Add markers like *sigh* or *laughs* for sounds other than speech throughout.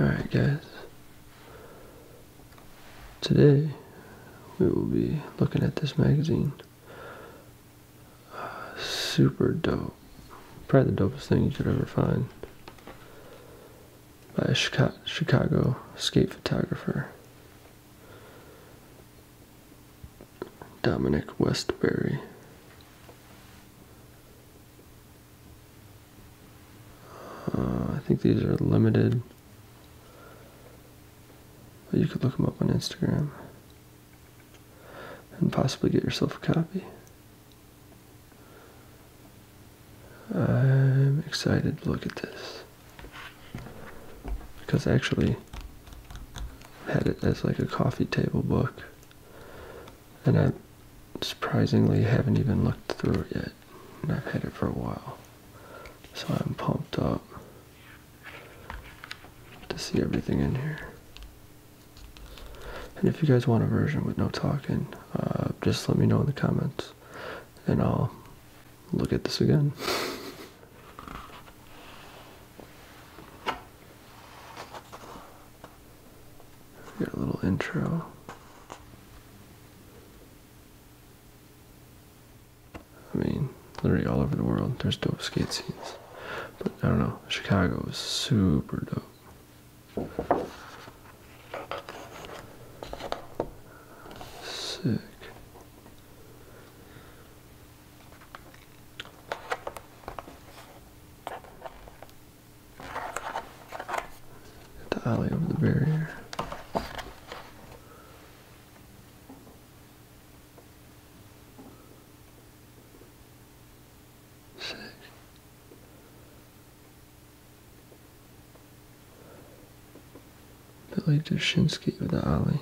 Alright guys, today we will be looking at this magazine. super dope. Probably the dopest thing you could ever find. By a Chicago skate photographer. Dominic Westbury. Uh, I think these are limited. But you could look them up on Instagram and possibly get yourself a copy. I'm excited to look at this because I actually had it as like a coffee table book and I surprisingly haven't even looked through it yet. And I've had it for a while. So I'm pumped up to see everything in here. And if you guys want a version with no talking, uh, just let me know in the comments and I'll look at this again. *laughs* Get a little intro. I mean, literally all over the world, there's dope skate scenes. But I don't know, Chicago is super dope. Sick. At the alley over the barrier. Sick. Billy Jashinsky with the alley.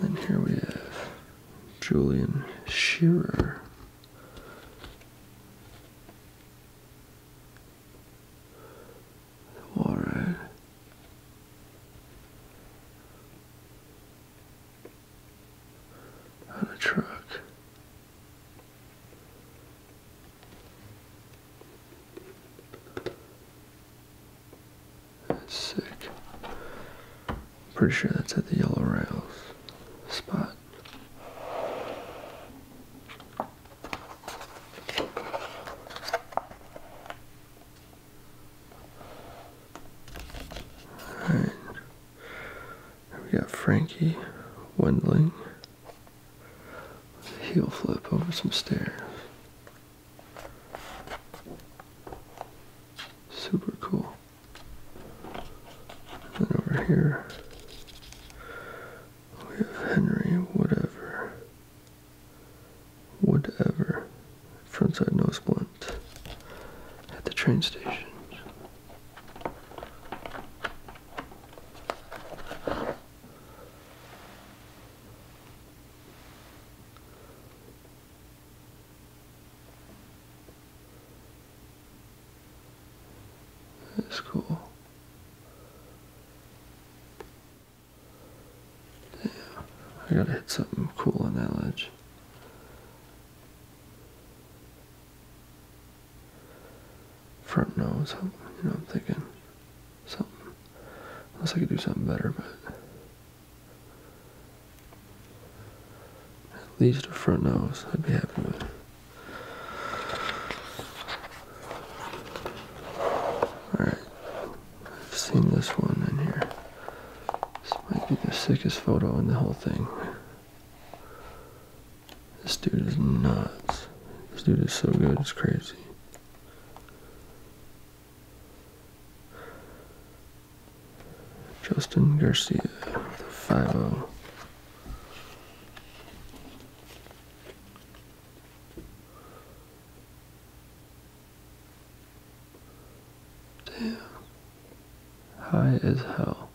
And then here we have Julian Shearer. All right. On a truck. That's sick. Pretty sure that's at the yellow rails spot. Alright. We got Frankie Wendling. Heel flip over some stairs. Super cool. then over here we have Henry whatever. Whatever. Frontside nose blunt at the train station. That's cool. Damn, I gotta hit something cool on that ledge. Front nose, you know, I'm thinking something. Unless I could do something better, but at least a front nose, I'd be happy with. Alright, I've seen this one in here. This might be the sickest photo in the whole thing. This dude is nuts. This dude is so good, it's crazy. Justin Garcia, the 5 Damn. High as hell.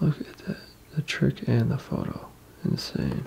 Look at that. The trick and the photo. Insane.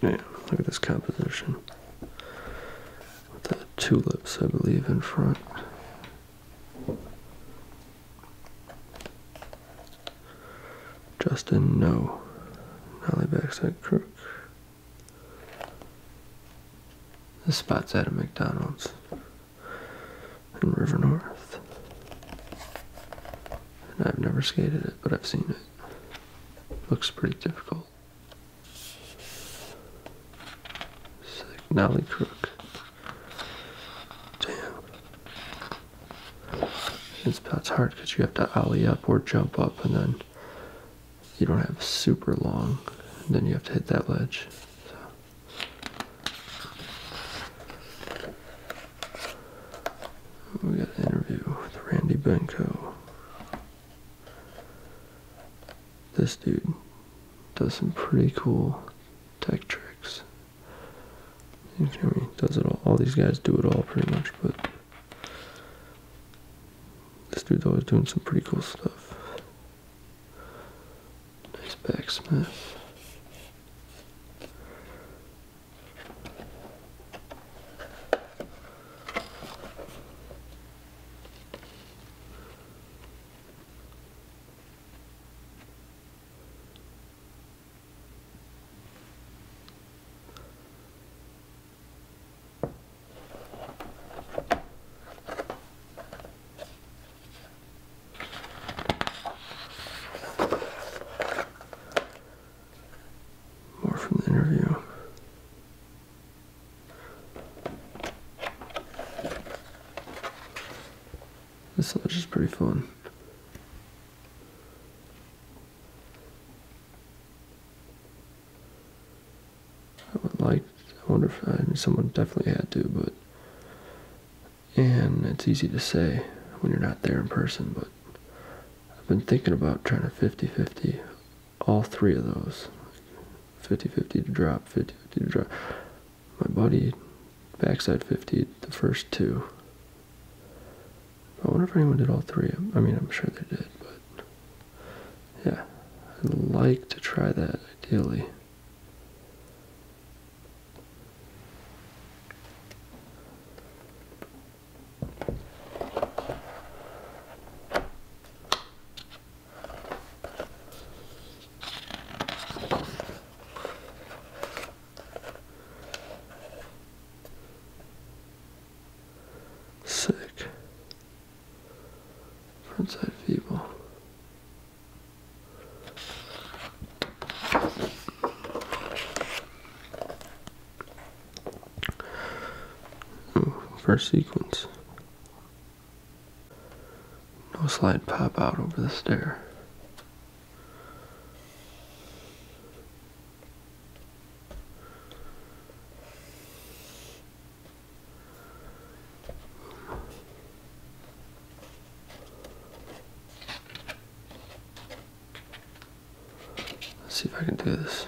Yeah, look at this composition. With the tulips, I believe, in front. Justin, no. Nolly backside crook. This spot's at a McDonald's. And River North. I've never skated it, but I've seen it. Looks pretty difficult. Sick Nolly Crook. Damn. This pot's hard because you have to alley up or jump up and then you don't have super long. And then you have to hit that ledge. We got an interview with Randy Benko. This dude does some pretty cool tech tricks. he does it all. All these guys do it all pretty much, but this dude's is doing some pretty cool stuff. Nice backsmith. More from the interview. This lodge is pretty fun. I would like, I wonder if someone definitely had to, but, and it's easy to say when you're not there in person, but I've been thinking about trying to 50 50 all three of those 50 50 to drop, 50 50 to drop. My buddy backside 50 the first two. I wonder if anyone did all three. I mean, I'm sure they did, but yeah, I'd like to try that ideally. Sick. Frontside feeble. Ooh, first sequence. No slide pop out over the stair. Let's see if I can do this.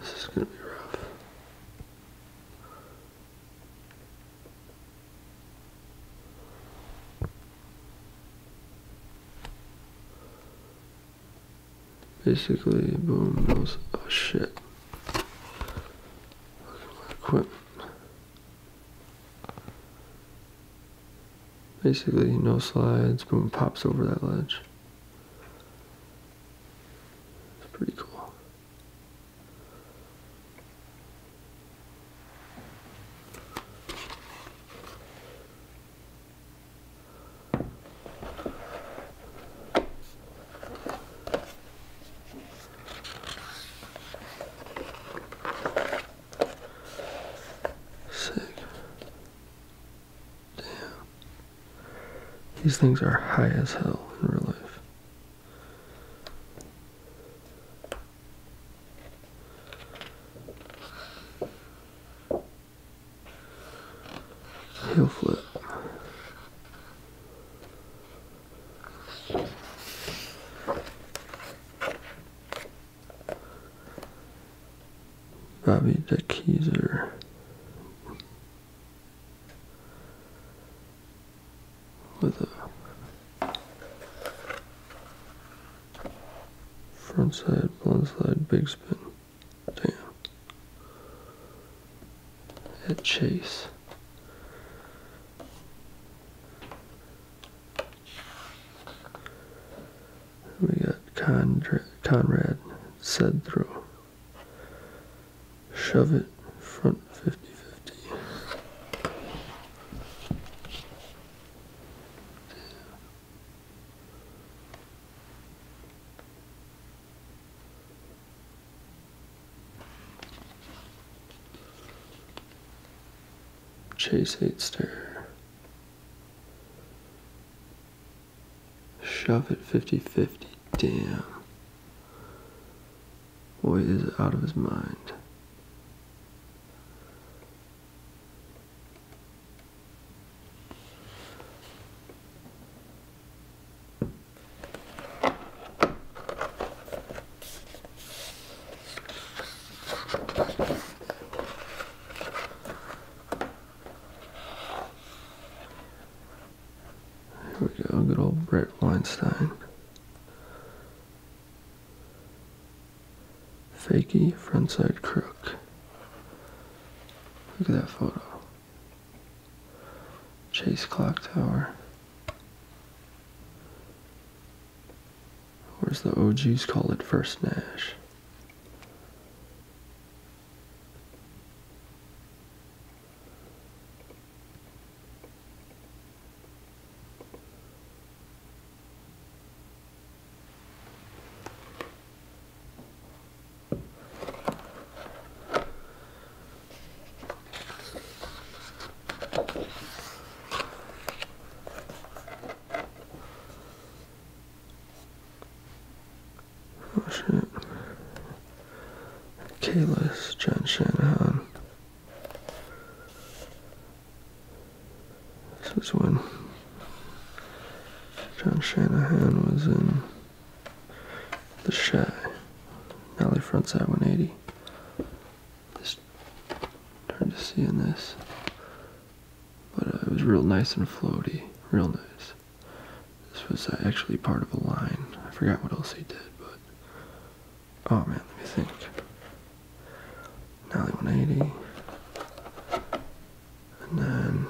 This is going to be rough. Basically, boom, those, oh shit. Quit. Basically, no slides, boom, pops over that ledge. It's pretty cool. Sick. Damn. These things are high as hell in real life. Heel flip. Bobby the Keezer. With a Front side, blind slide, big spin. Damn. At Chase. We got Conrad, Conrad said throw. Shove it, front 50 50. Chase Eightster. Shove it 50 50. Damn. Boy is out of his mind. Here we go, good old Brett Weinstein. Fakey frontside crook. Look at that photo. Chase clock tower. Where's the OGs call it first Nash? Kalis, John Shanahan, this was when John Shanahan was in the Shy, Valley Frontside 180. Just hard to see in this, but uh, it was real nice and floaty, real nice. This was uh, actually part of a line. I forgot what else he did, but oh man, let me think. Nally 180. And then,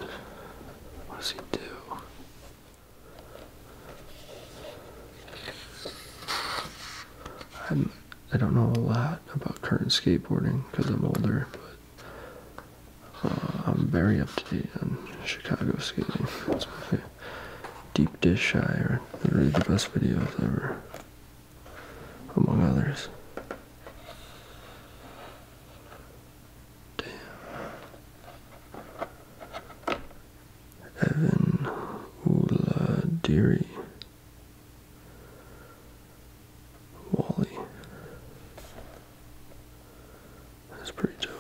what does he do? I'm, I i do not know a lot about current skateboarding because I'm older, but uh, I'm very up to date on Chicago skating. Deep Dish Shire, really the best videos ever among others. Damn. Evan Uladiri. Wally. That's pretty dope.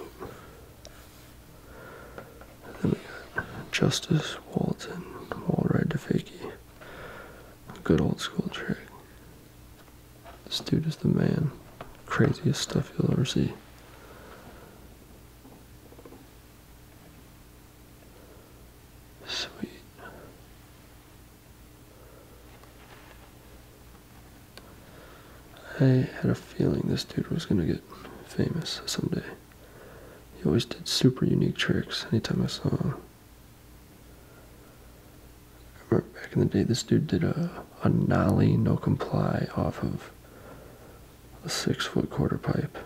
then we got Justice Walton, Walride DeFakey. Good old school trick. This dude is the man. Craziest stuff you'll ever see. Sweet. I had a feeling this dude was gonna get famous someday. He always did super unique tricks anytime I saw him. I remember back in the day, this dude did a, a nollie no comply off of a six foot quarter pipe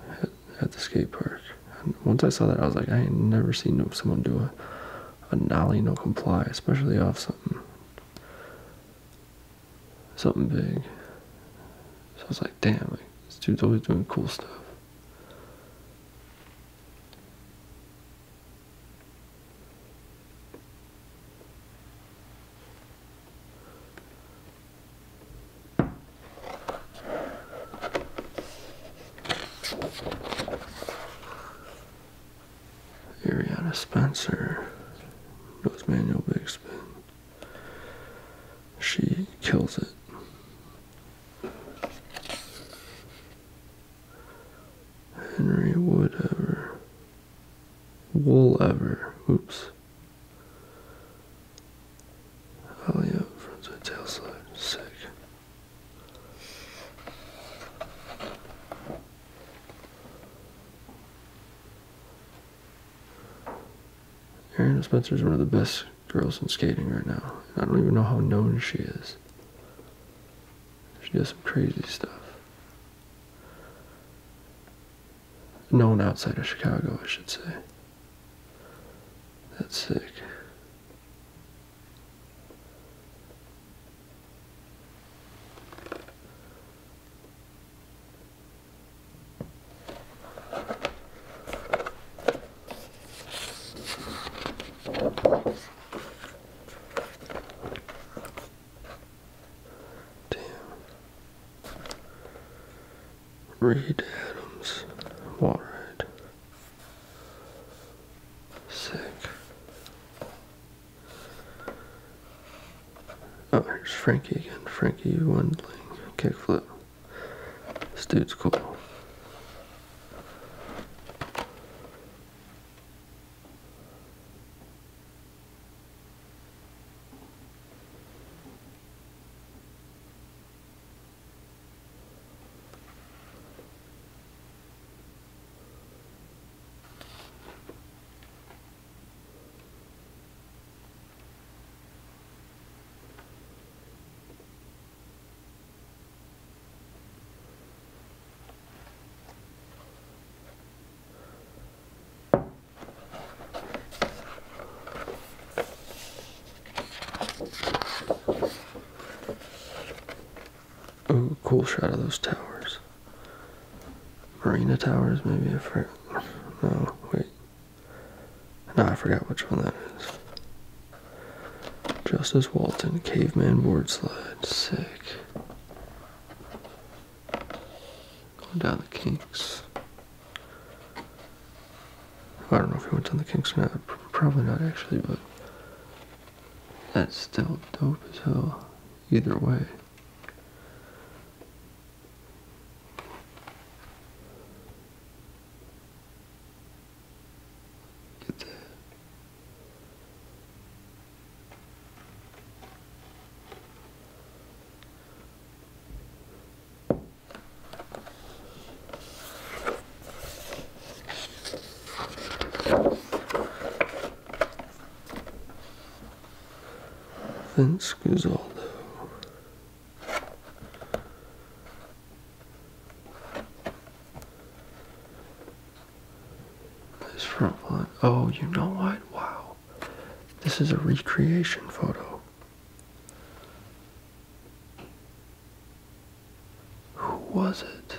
at, the skate park. And once I saw that, I was like, I ain't never seen someone do a, a nollie no comply, especially off something something big. So I was like, damn, this dude's always doing cool stuff. Ariana Spencer knows manual big spin. She kills it. Henry Woodever. Woolever. Oops. Alley up front to Sick. Aaron Spencer is one of the best girls in skating right now. I don't even know how known she is. She does some crazy stuff. Known outside of Chicago, I should say. That's sick. Damn. Reed Adams, Waterhead. Sick. Oh, here's Frankie again. Frankie Wendling, kickflip. This dude's cool. Ooh, cool shot of those towers. Marina Towers, maybe I forgot. No, wait. No, I forgot which one that is. Justice Walton, Caveman Board Slide, sick. Going down the kinks. I don't know if he went down the kinks or not. Probably not actually, but that's still dope as hell. Either way. Get the Vince Guzzaldo this front one. Oh, you know what? Wow. This is a recreation photo. Who was it?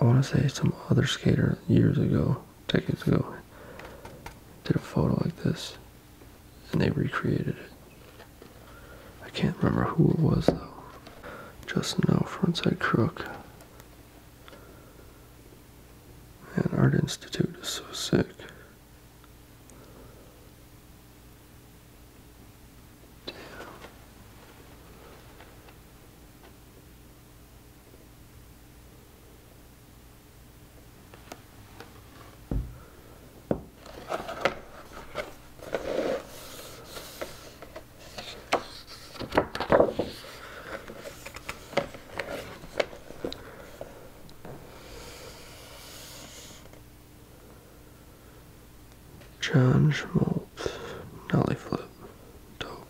I want to say some other skater years ago, decades ago, did a photo like this and they recreated it. I can't remember who it was though. Just know Frontside Crook. Man, Art Institute is so sick. Damn. John Schmolt, Nolly Flip, dope.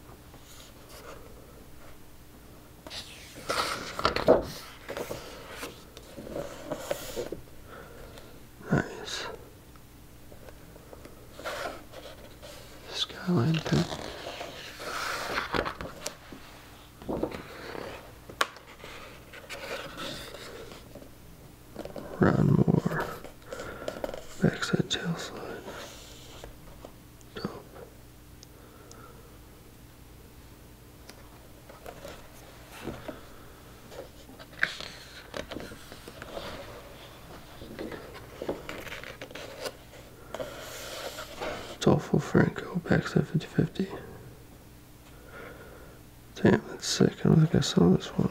Nice. Skyline pen. Ron Moore. Backside tail slide. Dope. Dolpho Franco, backside 50 Damn, that's sick. I don't think I saw this one.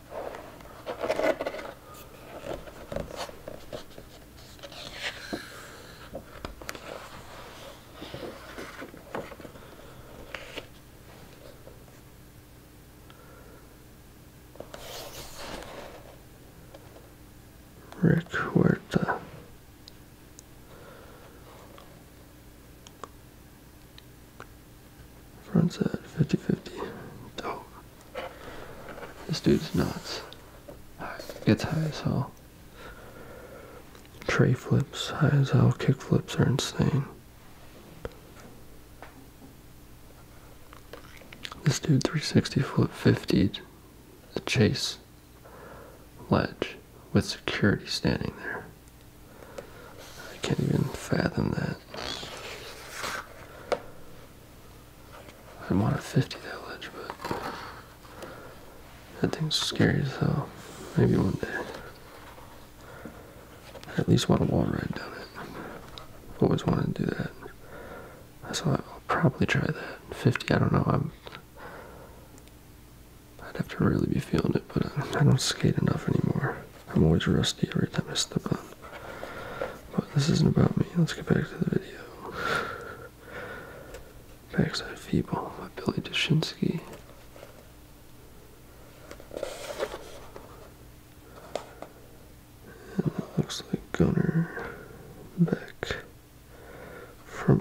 Rick Huerta. Front side, 50 50. Dope. This dude's nuts. Gets high as hell. Tray flips, high as hell. Kick flips are insane. This dude 360 flip 50'd the chase ledge with security standing there. I can't even fathom that. I want a 50 that ledge, but that thing's scary as hell. Maybe one day. at least want a wall ride down it. Always wanted to do that. So I'll probably try that. 50, I don't know. I'd have to really be feeling it, but I don't skate enough anymore. I'm always rusty every time I step on. But this isn't about me. Let's get back to the video. Backside Feeble by Billy Dushinsky. looks like Gunner Beck from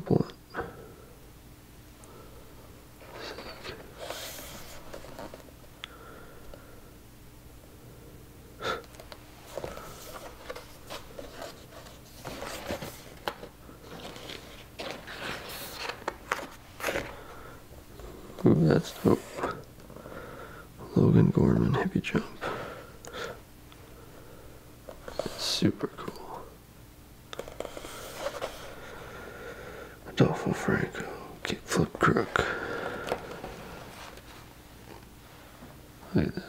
Ooh, that's dope. Logan Gorman heavy jump. It's super cool. Adolfo Franco kickflip crook. Like that.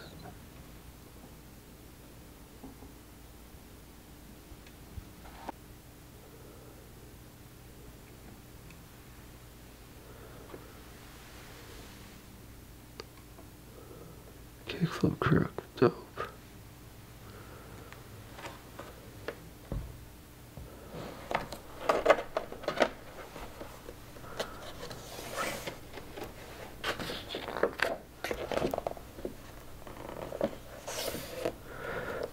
Kickflip crook, dope.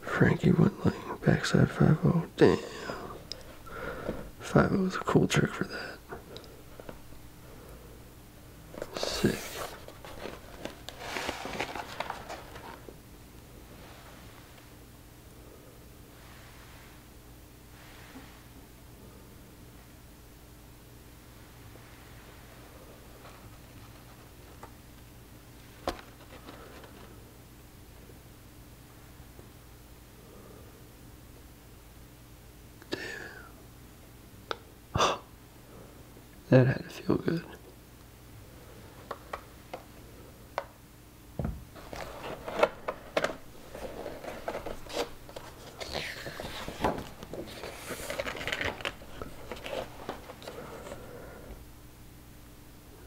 Frankie went like backside 5 0. Damn. 5 0 is a cool trick for that. Sick. Damn. *gasps* that had to feel good.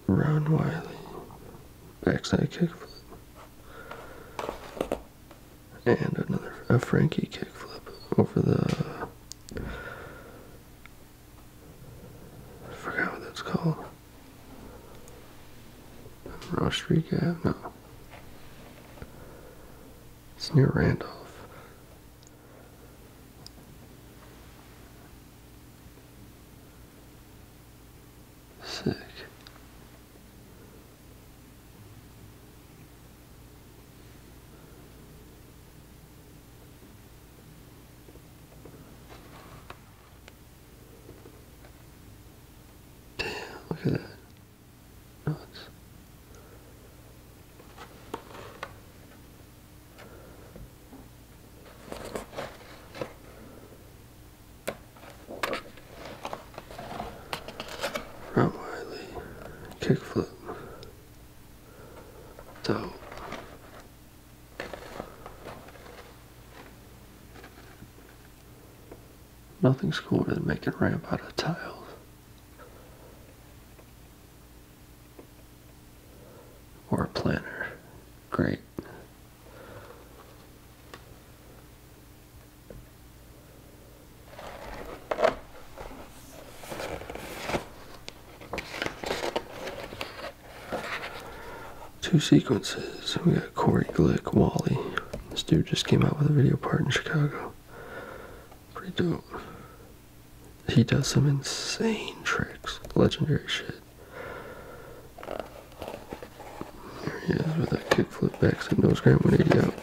Round Wiley, backside kickflip, and another a Frankie kickflip over the. I forgot what that's called. Rostrika? No. It's near Randolph. Sick. Damn, look at that. Nuts. Rob kickflip. So Nothing's cooler than making a ramp out of tiles. Or a planter. Great. Two sequences. We got Corey Glick, Wally. This dude just came out with a video part in Chicago. Pretty dope. He does some insane tricks. Legendary shit. There he is with a kickflip backside nose grab 180 out.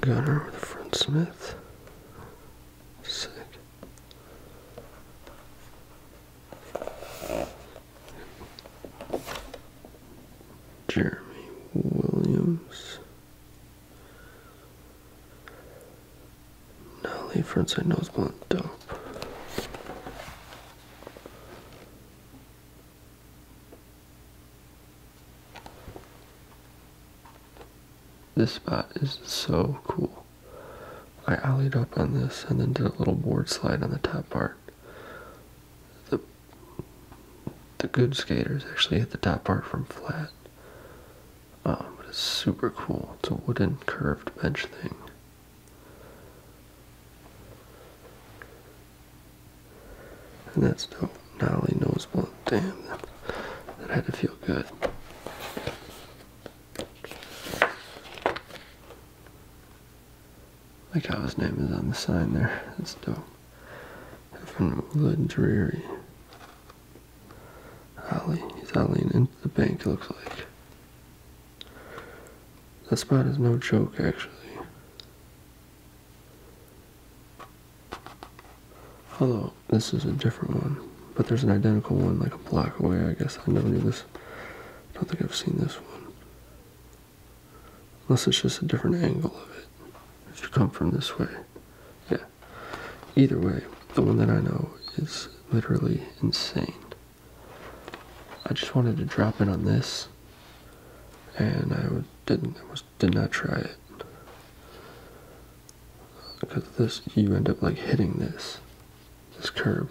Gunner with a front smith. Sick. Jeremy Williams. Natalie Frontside Nose Blunt Dope. This spot is so cool. I ollied up on this and then did a little board slide on the top part. The, the good skaters actually hit the top part from flat. Oh, but it's super cool. It's a wooden curved bench thing. And that's dope. Not only nose blunt, damn, that had to feel good. Like how his name is on the sign there. That's dope. From Woodland Dreary. Alley. He's alleying into the bank, looks like. That spot is no joke, actually. Hello, this is a different one. But there's an identical one like a block away, I guess. I never knew this. I don't think I've seen this one. Unless it's just a different angle of it. If you come from this way. Yeah. Either way, the one that I know is literally insane. I just wanted to drop in on this, and I didn't. did not try it because this you end up like hitting this this curb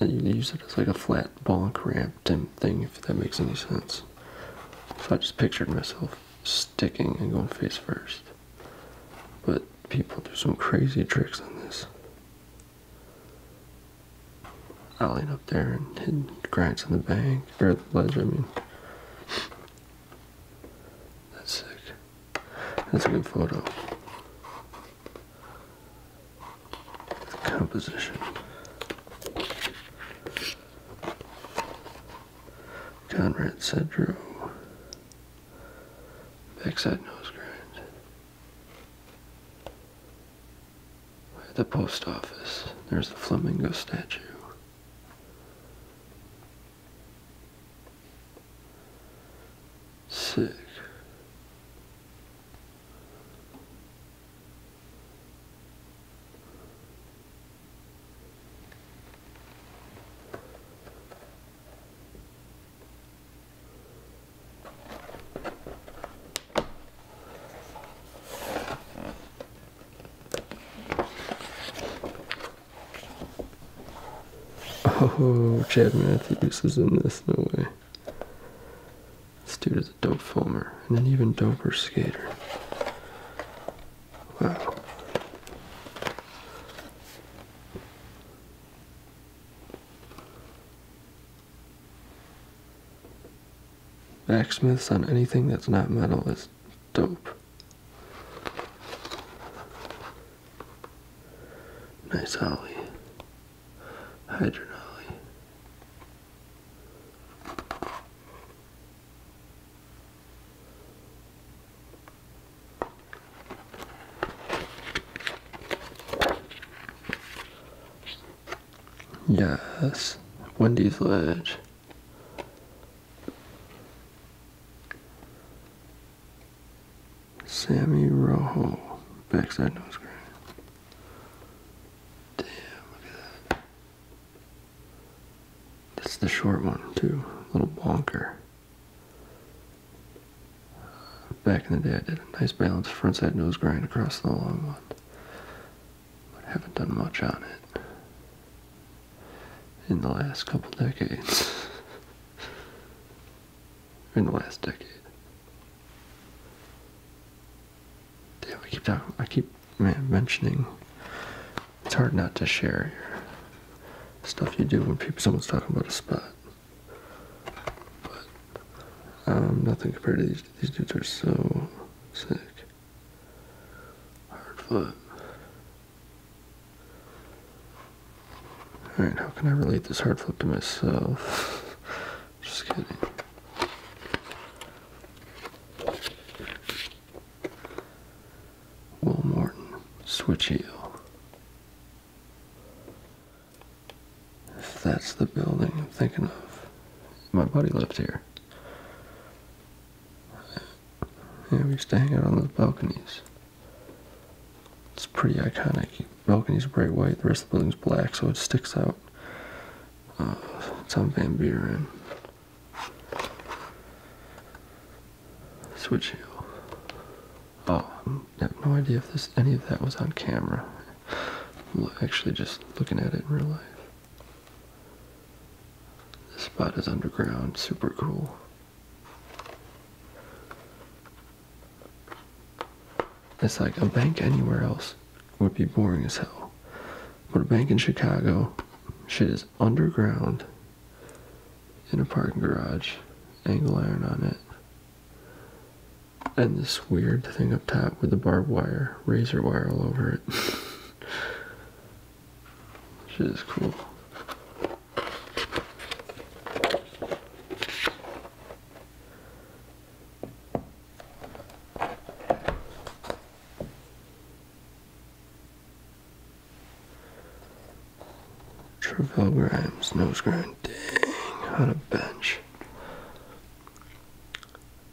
and you use it as like a flat bonk ramp thing if that makes any sense i just pictured myself sticking and going face first. But people do some crazy tricks on this. Allied up there and hit grinds in the bank, or the ledge, I mean. That's sick. That's a good photo. Composition. Conrad syndrome, backside nose grind. At the post office, there's the flamingo statue. Sick. Oh, Chad Matthews is in this, no way. This dude is a dope filmer and then even doper skater. Wow. Backsmiths on anything that's not metal is dope. Nice ollie. Hydron Yes, Wendy's Ledge. Sammy Rojo, backside nose grind. Damn, look that's the short one too. A little bonker. Back in the day, I did a nice balance front side nose grind across the long one, but haven't done much on it in the last couple decades. *laughs* in the last decade. Damn, I keep talking, I keep mentioning. It's hard not to share stuff you do when people someone's talking about a spot. But um, nothing compared to these. These dudes are so sick. Hard flip. Alright, how can I relate this hard flip to myself? *laughs* Just kidding. Will switch heel. If that's the building I'm thinking of, my buddy lived here. Yeah, we used to hang out on those balconies. It's pretty iconic. Balconies are bright white, the rest of the building's black, so it sticks out. Uh, it's on Van Buren. Switch heel. Oh, I have no idea if this any of that was on camera. actually just looking at it in real life. This spot is underground, super cool. It's like a bank anywhere else would be boring as hell. But a bank in Chicago, shit is underground in a parking garage, angle iron on it. And this weird thing up top with the barbed wire, razor wire all over it. *laughs* shit is cool. Travell Grimes, Nosegrind. grind, dang, on a bench.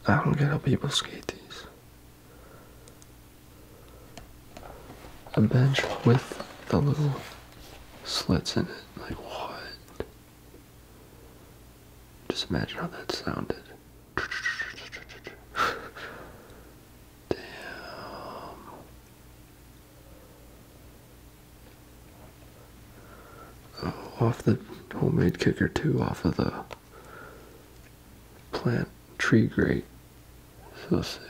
I don't get how people skate these. A bench with the little slits in it, like what? Just imagine how that sounded. Damn. off the homemade kicker too, off of the plant tree Great. So sick.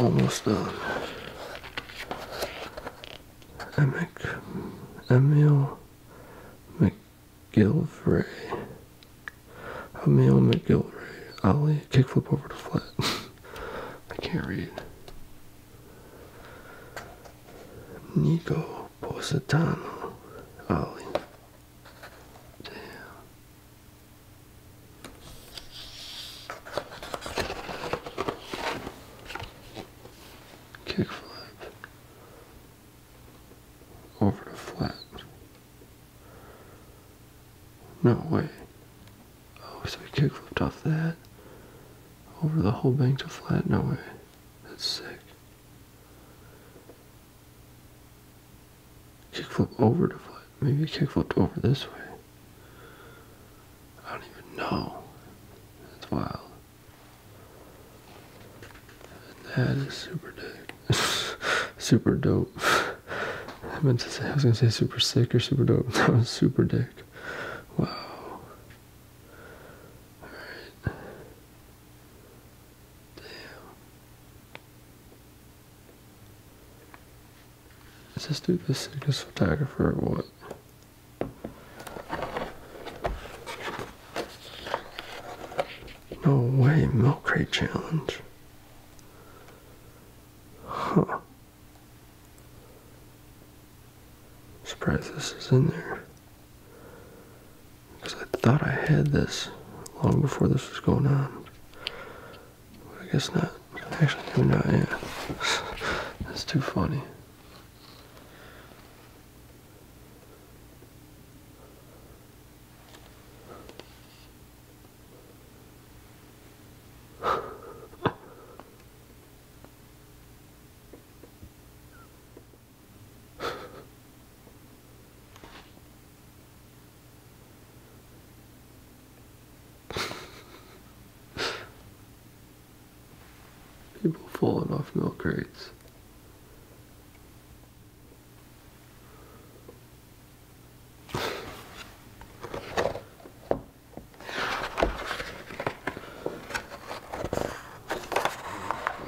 Almost done. Emic, Emil McGillivray. Emil McGillivray. Ollie, kickflip over to flat. *laughs* I can't read. Nico Positano. Ollie. Damn. Kickflip over the flat. No way. Oh, so he kickflipped off that over the whole bank to flat. No way. That's sick. Kickflip over to flip. Maybe kickflipped over this way. I don't even know. That's wild. that is super dick. *laughs* super dope. I meant to say I was gonna say super sick or super dope. *laughs* That was super dick. Wow. Alright. Damn. Is this dude the sickest photographer or what? No way, milk crate challenge. Huh. Surprise! this is in there. Because I thought I had this long before this was going on. I guess not. Actually, maybe not yet. *laughs* That's too funny. *laughs* *laughs* People falling off milk crates.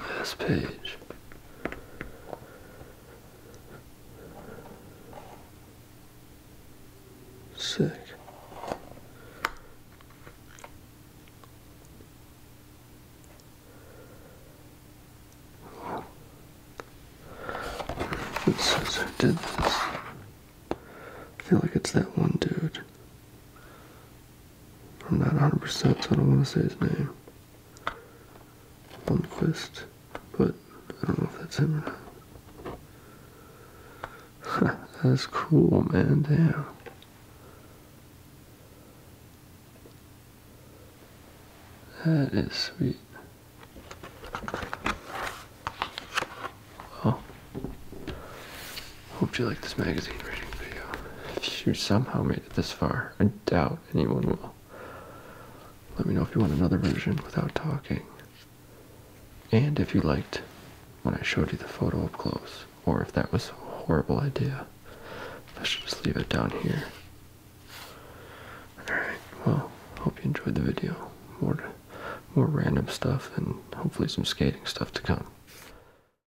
Last page. Sick. It did this. I feel like it's that one dude. I'm not 100%, so I don't want to say his name. Lundquist, but I don't know if that's him or not. *laughs* that's cool, man. Damn. That is sweet. Oh. Hope you liked this magazine reading video. If you somehow made it this far, I doubt anyone will. Let me know if you want another version without talking. And if you liked when I showed you the photo up close, or if that was a horrible idea. I should just leave it down here. Alright, well, hope you enjoyed the video. More, more random stuff and hopefully some skating stuff to come.